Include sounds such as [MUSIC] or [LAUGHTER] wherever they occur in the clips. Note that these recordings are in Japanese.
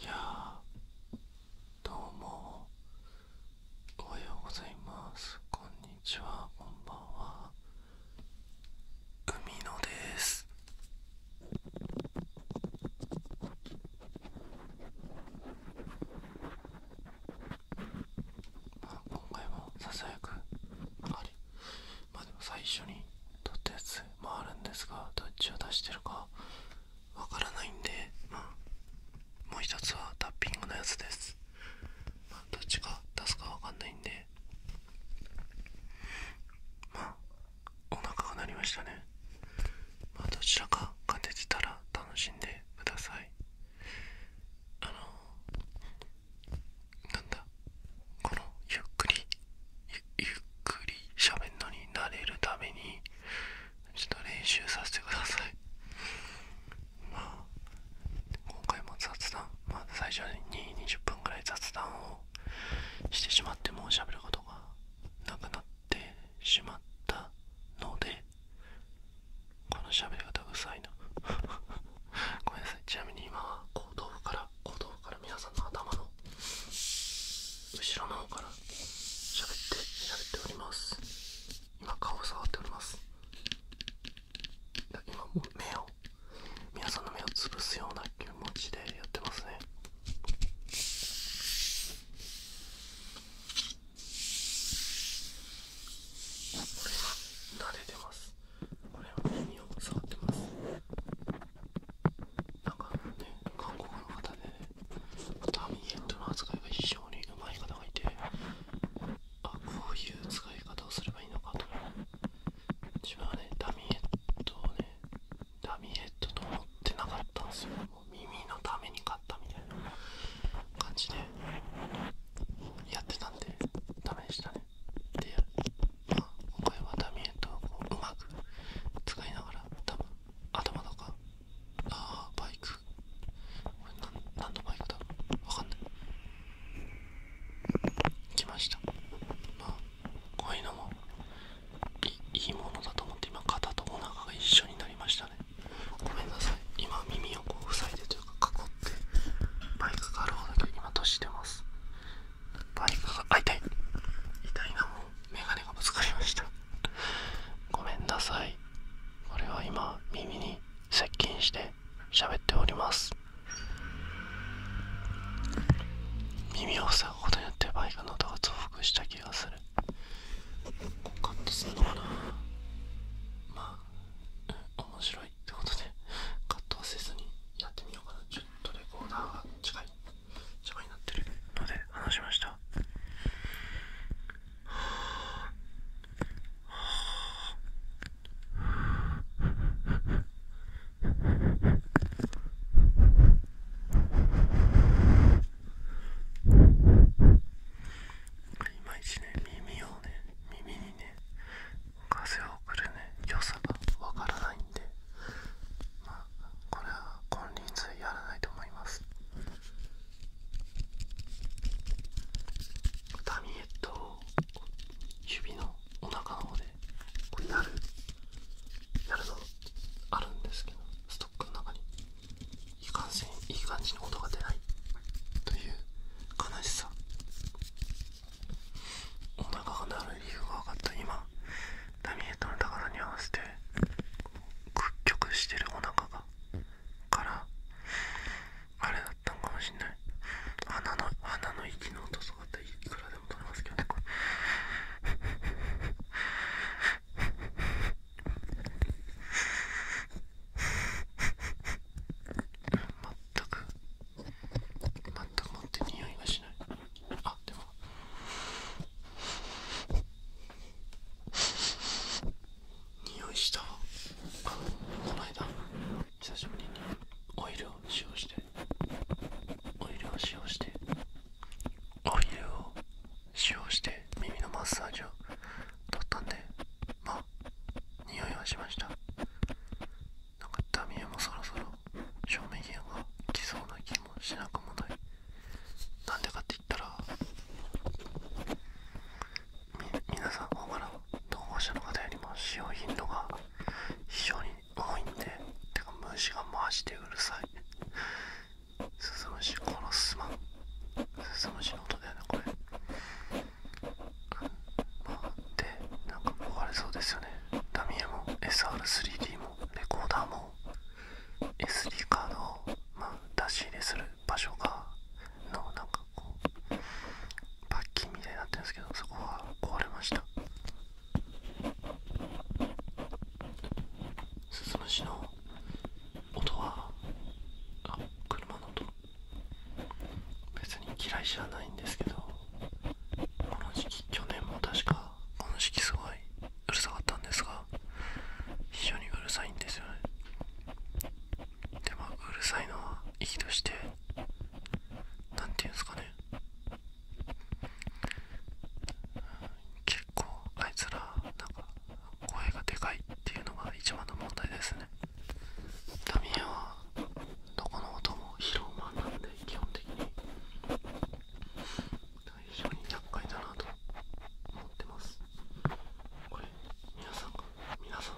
いやどうもおはようございますこんにちはこんばんは海野ですまあ今回もささやくあれ最初に撮ったやつもあるんですがどっちを出してるかわからないんで、まあ、もう一つはタッピングのやつです、どっちが出すかわかんないんでまあお腹が鳴りましたねどちらかが出てたら楽しんでくださいあのなんだこのゆっくりゆっゆっくり喋るのになれるためにちょっと練習させてくださいまあ今回も雑談まず、最初に20 2分ぐらい雑談をしてしまってもうしゃべることがなくなってしまったのでこの喋り方うるさいな [LAUGHS] ごめんなさいちなみに今は後頭部から後から皆さんの頭の後ろの方からしゃべってしゃべております今顔を触っております今目を皆さんの目をつぶすような気持ちでやってますねこれ慣れてますこれは目耳を触ってますなんかね、韓国の方で、ね、ダミーヘッドの扱いが非常にうまい方がいて、あ、こういう使い方をすればいいのかと、ね、自分はね、ダミーヘッドをね、ダミーヘッドと思ってなかったんですよ。耳のために買ったみたいな感じでやってたんで、ダメでしたね。まあ、こはダミエットをこううまく使いながら多分頭とかああバイクこれ何のバイクだろうわかんない来ましたまあこういうのもいいものだと思って今肩とお腹が一緒になりましたねごめんなさい今耳をこう塞いでというか囲ってバイクがあるほど今年してますバイックがあ痛い痛いなもうメガネがぶつかりましたごめんなさいこれは今耳に接近して喋っております耳を塞ぐことによってバイクの音が増幅した気がするカットするのかなまあ、面白いってことでカットはせずにやってみようかなちょっとレコーダーが近い邪魔いまいちね耳をね耳にね風を送るね良さがわからないんでまこれは金輪際やらないと思いますダミエットを指のお腹の方でこやるやるのあるんですけどストックの中にいい感じいい感じに音が出ないという悲しさお腹が鳴る理由が分かった今ダミエッの高さに合わせて屈曲してるお腹がからあれだったんかもしんない鼻の鼻の息の音とかっていくらでも取れますけどね [LAUGHS] 全く全くもって匂いがしないあでも匂いしたあこの間久しぶりにオイルを使用してオイルを使用してオイルを使用して耳のマッサージを取ったんでまあ匂いはしましたなんかダミエもそろそろ照明機が来そうな気がもしなくもないなんでかって言ったらみ皆さん大柄投稿者の方よりも使用頻度が非常に多いんでてか虫がマジでうるさいスズムシ殺すまんスズムシの音だよねこれまあでなんか壊れそうですよねダミエも SR3D もレコーダーも SD カードを、まあ、出し入れする場所がのなんかこうパッキンみたいになってるんですけどそこは壊れましたスズムシの音は車の音別に嫌いじゃないんですけどこの時期去年も確かこの時期すごいうるさかったんですが非常にうるさいんですよねでも、うるさいのは息として何て言うんですかね結構あいつらなんか声がでかいっていうのが一番の問題ですねダミエはどこの音も拾うマンなんで基本的に非常に厄だなと思ってますこれ皆さんが皆さん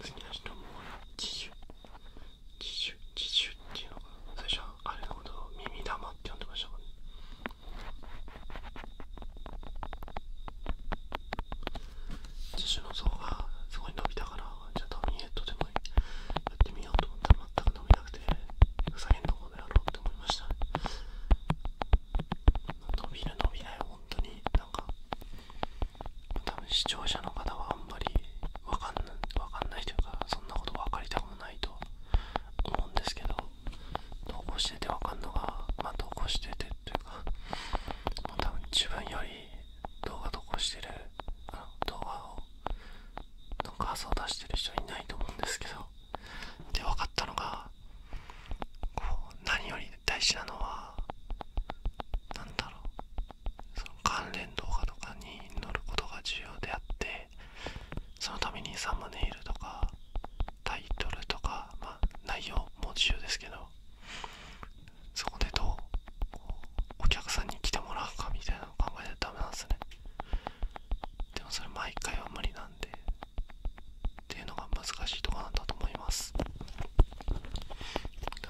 次の人も自主自主自主っていうのが最初はあれのことを耳玉って呼んでましたからね自主の層がそこに伸びたからじゃあドミネットでもやってみようと思ったら全く伸びなくてふざけんのこの野郎っ伸びる伸びない本当になんか多分視聴者の方はあんまりわかんないわかんないというかそんなこと分かりたくもないと思うんですけど投稿しててわかんのがまあ投稿しててというかもう多分自分より動画投稿してるあの動画をの画像を出してる人いないと思うんですけどで分かったのがこう何より大事なのは何だろうその関連動画とかに載ることが重要であってそのためにサムネイルとかタイトルとか、ま内容も重要ですけどそこでどうお客さんに来てもらうかみたいなのを考えないとダメなんですねでもそれ毎回は無理なんでっていうのが難しいとこなんだと思いますだ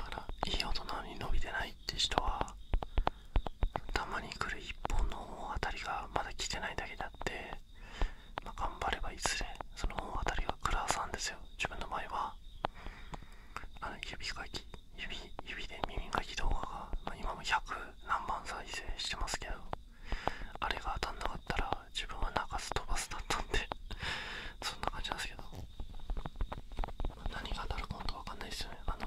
からいい大人に伸びてないって人はたまに来る1本の大当たりがまだ来てないだけであって、ま頑張ればいずれその大当りが来るはずなんですよ自分の場合はあの指かき指指で耳かき動画が、ま今も100何番再生してますけどあれが当たんなかったら自分は泣かず飛ばすだったんでそんな感じなんですけど何が当たるか本当わかんないですよねあの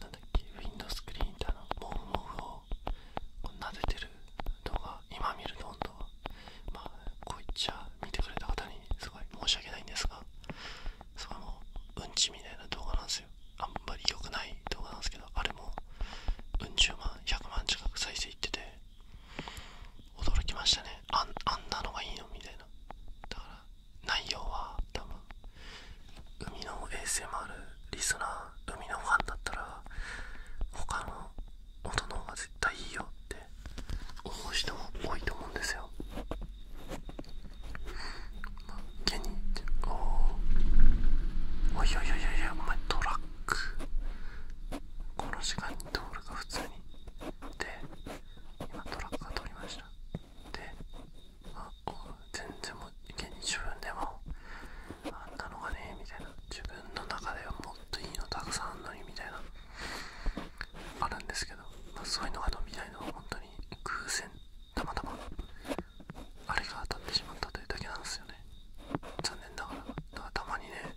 なんだっけウィンドスクリーンみたいなモフモフを撫でてる動画今見るの？本当はまあこういっちゃ見てくれた方にすごい申し訳ないんですがそれうんちみたいな動画なんすよあんまり良くない動画なんですけどあれもうん十万100万近く再生いってて驚きましたねあんなのがいいのみたいなだから内容は多分海の ASMR リスナー海のファンだったら他の音の方が絶対いいよって思う人も多いと思うんですよに、おおいやいやいやいや、お前トラックこの時間に通るか普通にで今トラックが通りましたであお全然もうに自分でもあんなのがねみたいな自分の中ではもっといいのたくさんあんのにみたいなあるんですけど、まあ、そういうのが伸みたいのは本当に偶然たまたまあれが当たってしまったというだけなんですよね残念ながらだかたまにね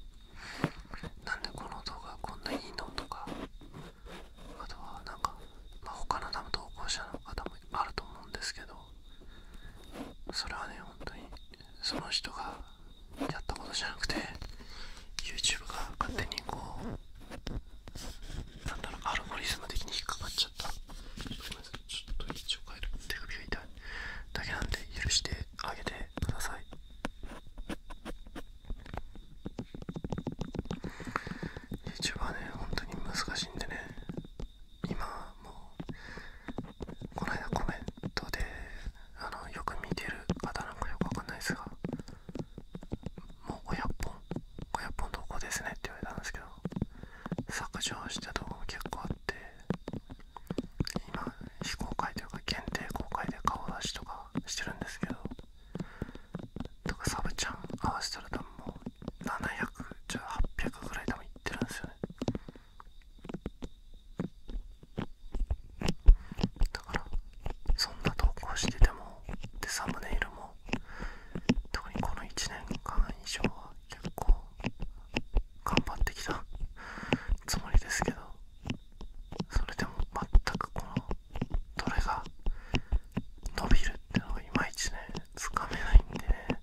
なんでこの動画こんないいのとかあとはなんか、ま他の多投稿者の方もあると思うんですけどそれはね本当にその人がやったことじゃなくて YouTube が勝手にこうなんだろうアルゴリズム的に引っかかっちゃったちょっと位置を変える手首が痛いだけなんで許してあげてください youtube はね本当に難しいんでね今もうこの間コメントであのよく見てる方なんかよくわかんないですがもう500本親っぽのとこですねって言われたんですけど削除した動画も結構あって今非公開というか限定公開で顔出しとかしてるんですけどとかサブちゃん合わせたら多分もう700じゃあ800ぐらいでもいってるんですよねだからそんな投稿しててもでサムネイルも特にこの1年間以上は結構頑張ってきたつもりですけどそれでも全くこのどれが伸びるってのがいまいちねつかめないんでね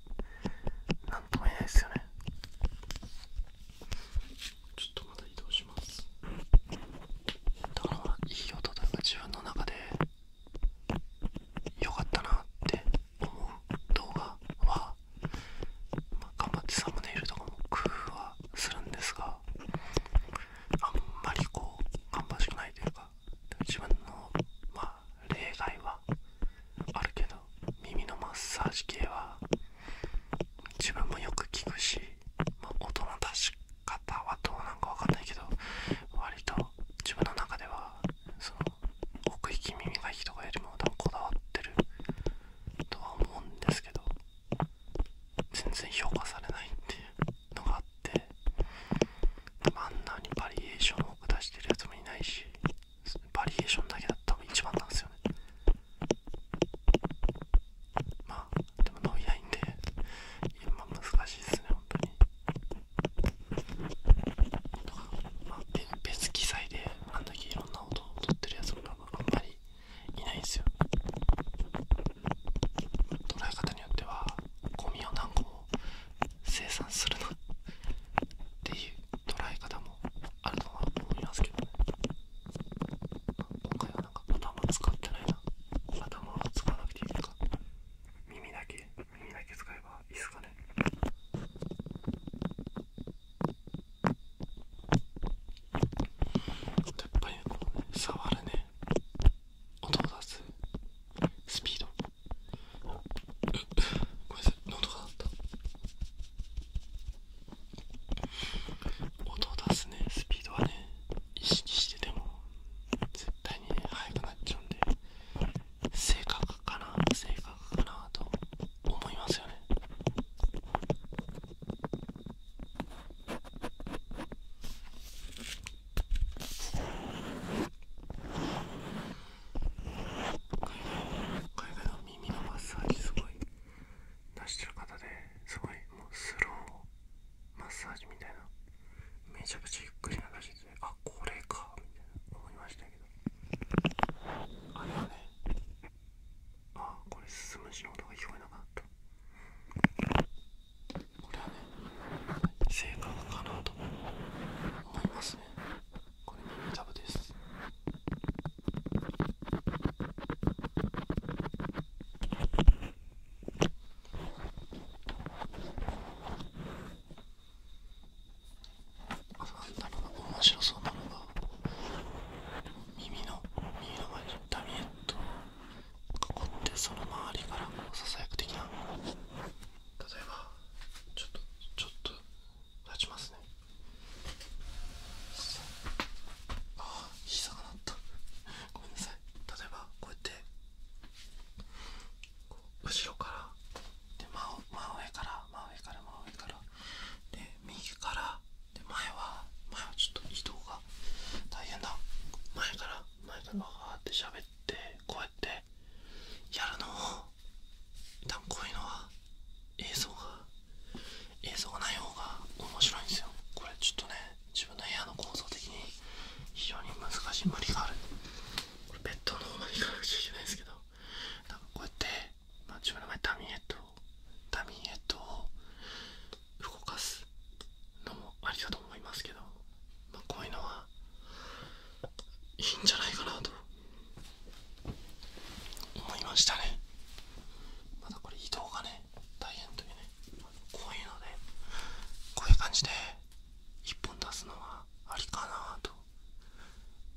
何とも言えないですよねちょっとまた移動しますだからいい音というか自分の中で良かったなって思う動画は、頑張ってサムネイルとかも工夫はするんですがあんまりこう頑張芳しくないというか自分のま例外はあるけど耳のマッサージ系は自分もよく聞くし、ま音の出し方はどうなのかわかんないけど割と自分の中ではその奥引き耳がいいとかよりも多分こだわってるとは思うんですけど全然評価されないっていうのがあってでもあんなにバリエーションを出してるやつもいないしバリエーションだけだったが一番なんですよねまあでも伸びないんで今難しいですね本当にまあ、別機材であんだけいろんな音を取ってるやつとかもあんまりいないんですよ捉え方によってはゴミを何個も生産するなっていう捉え方もあるとは思いますけどね今回はなんか頭使ってないな頭を使わなくていいのか耳だけ耳だ使えばいいですかねやっぱりこうね触るね音を出すスピードごめんなさい喉が鳴った音を出すねスピードはね意識してても絶対に速くなっちゃうんで性格かな性格かなと思いますよね海外海外の耳のマッサージすごい出してる方ですごいもうスローマッサージみたいなめちゃくちゃゆっくり流しててあこれかみたいな思いました。けあれはねああこれ進むしの音が聞こえなかったこれはね正解かなと思いますねこれに耳たぶですあんだろ面白そうなのが耳の耳の前にダミエットを囲ってその周りからこうささやく的な例えばちょっとちょっと立ちますねああひ膝が鳴ったごめんなさい例えばこうやって後ろからで真上から真上から真上からで右からで前は前はちょっと移動が大変だ前から前からわーって喋ってこうやってやるのをこういうのは映像が映像がない方が面白いんですよこれちょっとね自分の部屋の構造的に非常に難しい無理があるこれベッドの方まで行かなくちゃいけないですけどこうやって、まあ、自分の前ダミーエットダミーエットを動かすのもありかと思いますけど、まあ、こういうのはいいんじゃないかなと思いましたねまた、これ移動がね大変というねこういうので、こういう感じで1本出すのはありかなと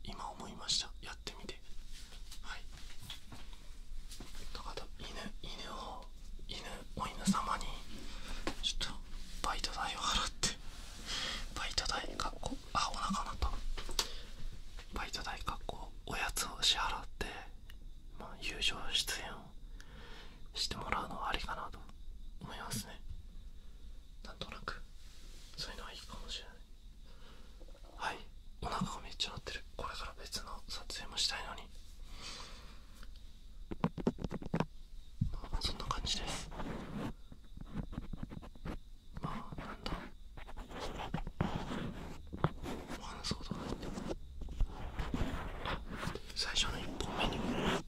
今思いましたやってみてはいとあと犬犬を犬お犬様にちょっとバイト代を払ってバイト代かっこあお腹鳴ったバイト代かっこおやつを支払ってまあ友情出演をしてもらうのはありかなと思いますねなんとなくそういうのはいいかもしれないはいお腹がめっちゃ鳴ってるこれから別の撮影もしたいのにそんな感じですまあなんだお話すことがなって最初の1本目にも。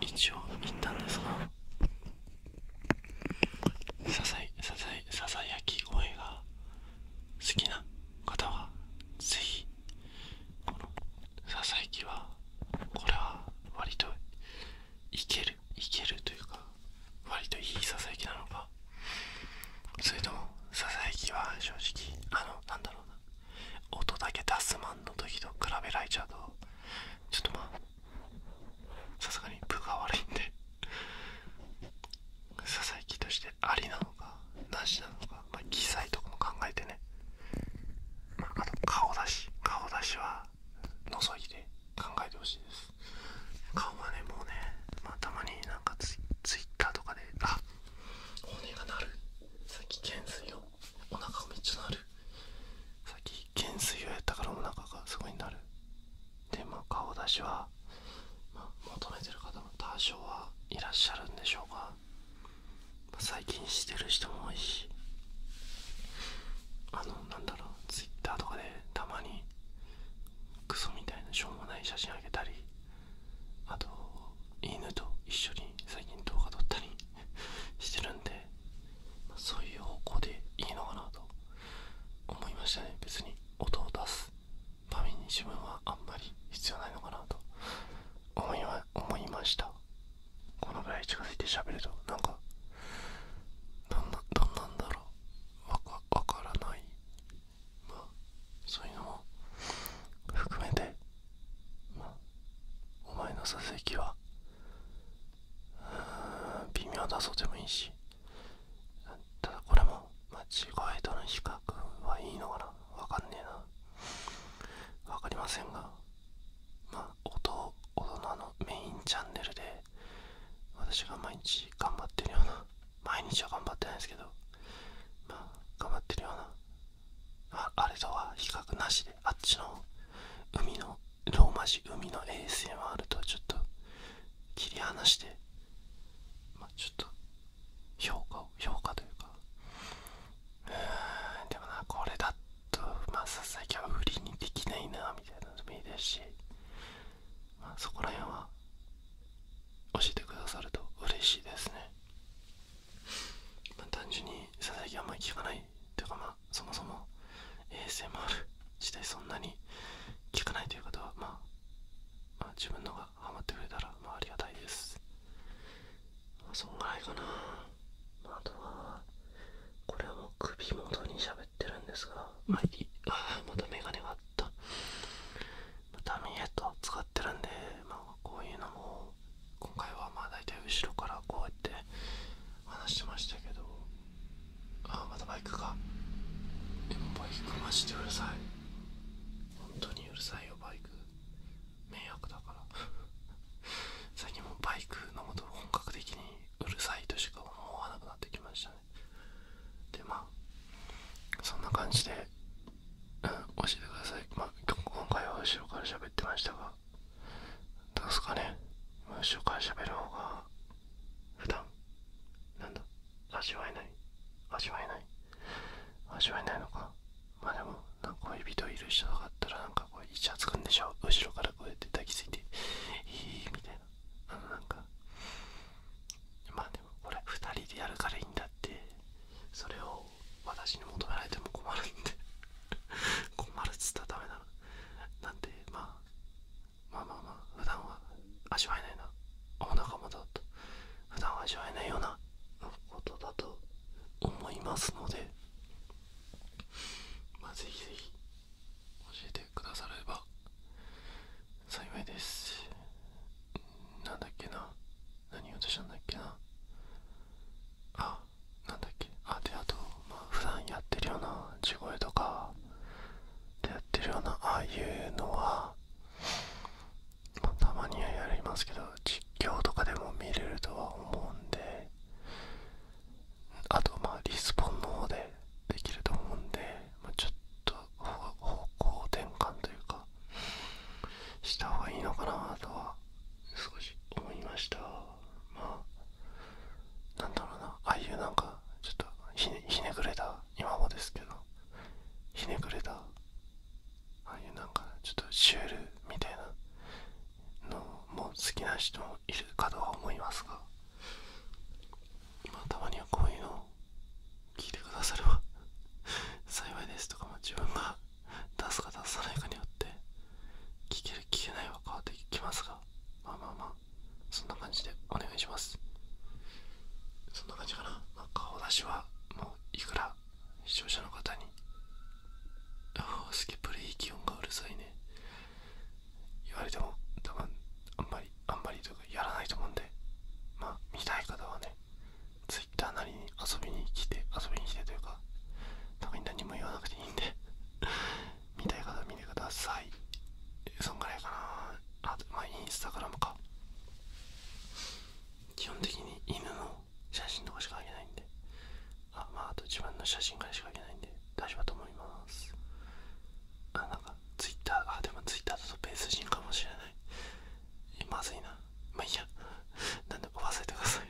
一応切ったんですがささささやき声が好きな方はぜひこのささやきはこれは割といけるいけるというか割といいささやきなのかそれともささやきは正直あのなんだろうな音だけ出すマンの時と比べられちゃうとちょっとまあさすがに部が悪いんで佐々木としてありなのかなしなのかまあ機材とかも考えてね、まあ、あ顔出し顔出しは覗いて考えてほしいです顔はねもうね、またまになんかツイツイッターとかであ骨が鳴るさっき懸垂をお腹がめっちゃ鳴さっき懸垂をやったからお腹がすごいになるでまあ顔出しは、ま求めてる方も多少はいらっしゃるんでしょうが、最近してる人も多いしあのなんだろう Twitter とかでたまにクソみたいなしょうもない写真あげたりあと犬と一緒に最近動画撮ったり [LAUGHS] してるんでそういう方向でいいのかなと思いましたね別に音を出すために自分はあんまり必要ないのかなと思いは思いましたこのぐらい近づいて喋るとなんかどんなどんなんだろうわかわからないまあそういうのも含めてまあお前の座席は微妙だそうでもいいしただこれも間違声との比較はいいのかなわかんねえなわかりませんがまあ音大人のメインチャンネルで私が毎日頑張ってるような毎日は頑張ってないですけどまあ頑張ってるようなああれとは比較なしであっちの海のローマ字海の衛星 s あるとちょっと切り離して、まあ、ちょっと評価を評価というかうーんでもなこれだとまあさすがは売りにできないなみたいなのもいいですし、まあ、そこら辺は教えてくださると嬉しいですね、まあ、単純に佐々木あんまり聞かないというかまあそもそも ASMR 自体そんなに聞かないという方は、まあ、自分のがハマってくれたらまあありがたいですそんぐらいかな、あ、とはこれはもう首元にしゃべってるんですがまあいいあまたメガネがあった、まあ、ダミーヘッドを使ってるんでまあこういうのも今回はまあ大体後ろからこうやって話してましたけどあまたバイクかでもバイクマジでうるさい本当にうるさいよバイク迷惑だから [LAUGHS] 最近もバイクのこと本格的にうるさいとしか思わなくなってきましたねでまあそんな感じで、教えてくださいま今回は後ろから喋ってましたがどうすかね後ろから喋る方が普段なんだ味わえない味わえない味わえないのかまあでも恋人いる人だったらなんかこうイチャつくんでしょ後ろからこうやって抱きついていいみたいなあのなんかまあでもこれ2人でやるからいいんだってそれを私に求められても困るんで困るっつったらダメなのなんでまあまあまあまあ普段は味わえないなお仲間だと普段は味わえないようなことだと思いますので、まあ、ぜひぜひ教えてくだされば幸いですなんだっけな何をとしたんだっけなあなんだっけあであと、まあ、普段やってるような地声とかでやってるようなああいうのは、たまにはやりますけど実況とかでも見れるとは思うんであとまあリスポンの方でできると思うんで、まちょっと方向転換というかした方がいいのかなとは少し思いましたまなんだろうなああいうなんかちょっとひねくれた今もですけどひねくれたああいうなんかちょっとシュールみたいなのも好きな人もいるかとは思いますが今たまにはこういうのを聞いてくだされば幸いですとかも自分が出すか出さないかによって聞ける聞けないは変わってきますがまあまあまあそんな感じでお願いしますそんな感じかな、ま顔出しはもういくら視聴者の方にああスケップレイ気温がうるさいね言われても多分あんまりあんまりというかやらないと思うんでまあ見たい方はね Twitter なりに遊びに来て遊びに来てというかたまに何も言わなくていいんで見たい方見てくださいそんぐらいかなあとまあインスタグラムか基本的に犬の写真とかしかあげないんであまああと自分の写真からしかあげないんで大丈夫だと思いますあなんかツイッターあでもツイッターだとベース人かもしれないまずいなまあいいや [LAUGHS] なんで忘れてください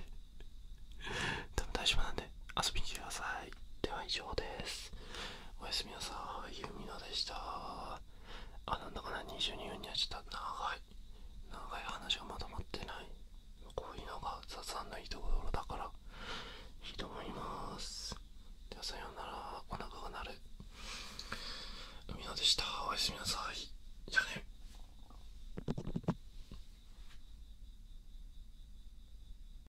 [LAUGHS] 多分大丈夫なんで遊びに来てください。では以上です。おやすみなさい。ゆみのでした。あ、なんだかな、22分にはちょっと長い。長い話がまとまってない。こういうのが雑談のいいところだから、いいと思います。ではさようなら、お腹が鳴る。海みのでした。おやすみなさい。じゃね。